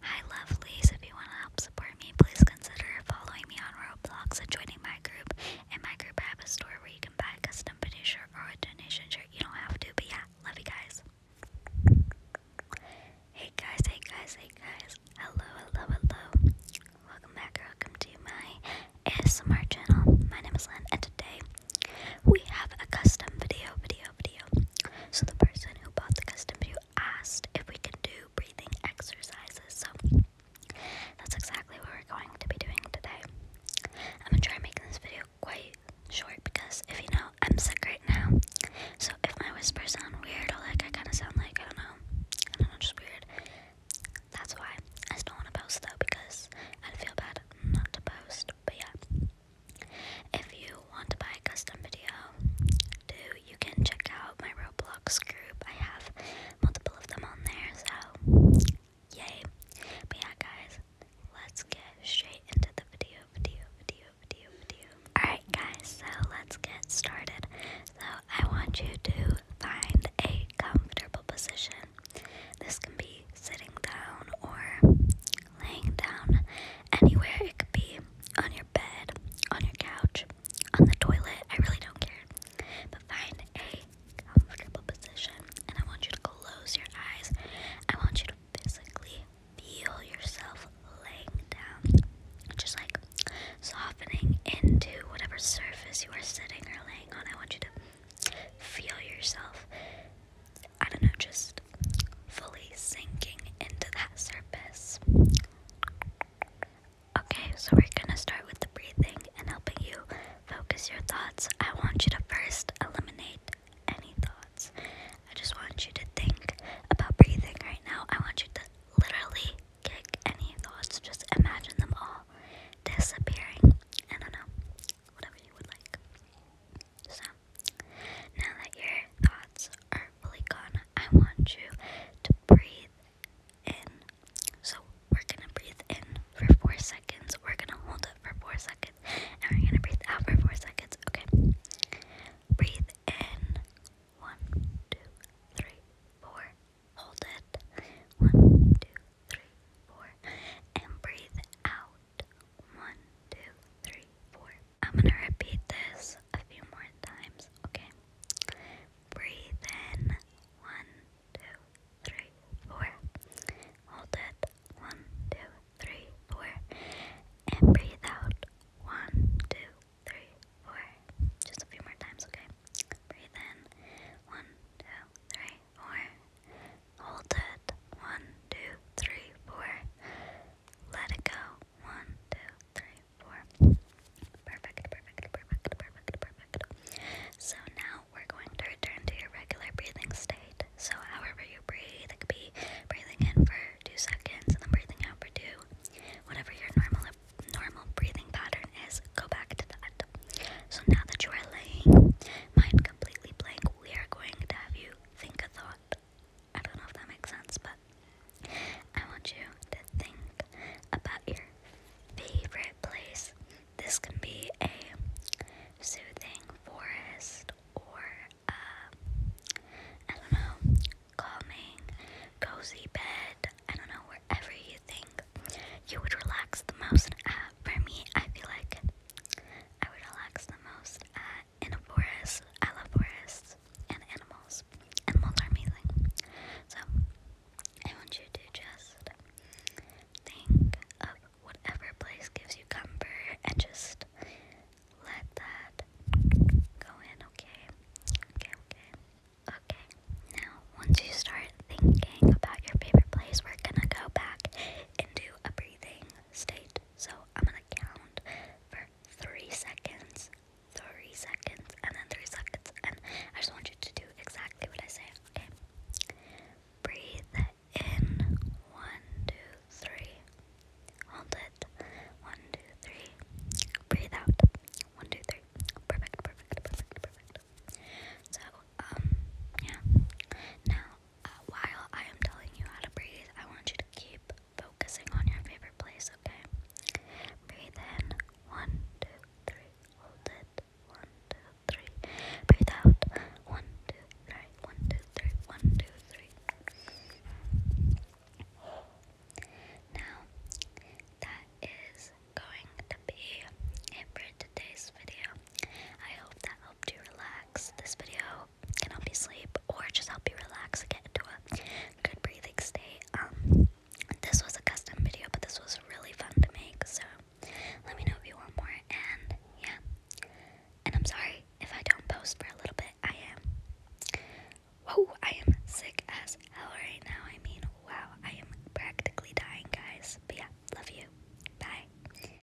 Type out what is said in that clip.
Hi lovelies, if you want to help support me, please consider following me on Roblox and joining my group. In my group I have a store where you can buy a custom penny shirt or a donation shirt. You don't have to, but yeah, love you guys. Hey guys, hey guys, hey guys. Hello, hello, hello. Welcome back, or welcome to my ASMR channel. My name is Lynn, and today we have a custom video, video, video. So the person who bought the custom video asked if we can do breathing exercises. So that's exactly what we're going to be doing today. I'm gonna try making this video quite short because if you know, I'm sick right now. So if my whispers sound weird or like I kind of sound like I don't know, I don't know, just weird. That's why I just don't want to post though because I'd feel bad not to post. But yeah, if you want to buy a custom video, too, you can check out my Roblox group. I have multiple of them on there, so yay. But yeah, guys, let's get straight into the video, video, video, video, video. Alright, guys, so let's get started. So I want you to find a comfortable position. This can be sitting down or laying down, anywhere it could be on your bed, on your couch, on the toilet. I really don't care. But find a comfortable position, and I want you to close your eyes. I want you to physically feel yourself laying down, just like softening into whatever surface you are sitting or laying on. I want you to feel yourself I don't know, just fully sinking into that surface. Okay, so we're gonna start with the breathing and helping you focus your thoughts. I want you to first eliminate any thoughts. I just want you to think about breathing right now. I want you to literally kick any thoughts, just imagine them all disappearing. I know, whatever you would like. So, now that your thoughts are fully gone, I want you to breathe in. So, we're gonna breathe in for four seconds, we're gonna hold it for four seconds, and we're gonna breathe out for four seconds, okay? Breathe in. One, two, three, four. Hold it. One, two, three, four. And breathe out. One, two, three, four. I'm gonna repeat this a few more times, okay? Breathe in. One, two, three, four. Hold it. One, two, three, four. And breathe out. One, two, three, four. Just a few more times, okay? Breathe in. One, two, three, four. Hold it. One, two, three, four. Let it go. One, two, three, four. So now we're going to return to your regular breathing state. So however you breathe, it could be breathing in for two seconds and then breathing out for two. Whatever your normal normal breathing pattern is, go back to that. So now that you are laying mind completely blank, we are going to have you think a thought. I don't know if that makes sense, but I want you to think about your favorite place. This can be a soothing forest or uh, don't know, calming, cozy bed. I don't know, wherever you think you would relax the most. Uh, for me, I feel like I would relax the most at in a forest. I love forests and animals. Animals are amazing. So, I want you to just think of whatever place gives you comfort and just let that go in, okay? Okay, okay. Okay, now once you start thinking about your favorite place, we're gonna go back into a breathing state. So I'm gonna count for three seconds, three seconds, and then three seconds. And I just want you to do exactly what I say, okay? Breathe in. One, two, three. Hold it. One, two, three. Breathe out. One, two, three. Perfect, perfect, perfect, perfect. So, um, yeah. Now uh, while I am telling you how to breathe, I want you to keep focusing on your favorite place, okay? Breathe in. One, two, three. Hold it. One, two, three. Breathe out. One, two, three. One, two, three. One, two, three. Now, that is going to be it for today's video. I hope that helped you relax. This video can help you sleep or just help you relax and get into a good breathing state. Um, this was a custom video, but this was really fun to make, so let me know if you want more. And yeah, and I'm sorry if I don't post for a little bit. I am. Whoa, I am sick as hell right now. I mean, wow, I am practically dying, guys. But yeah, love you. Bye.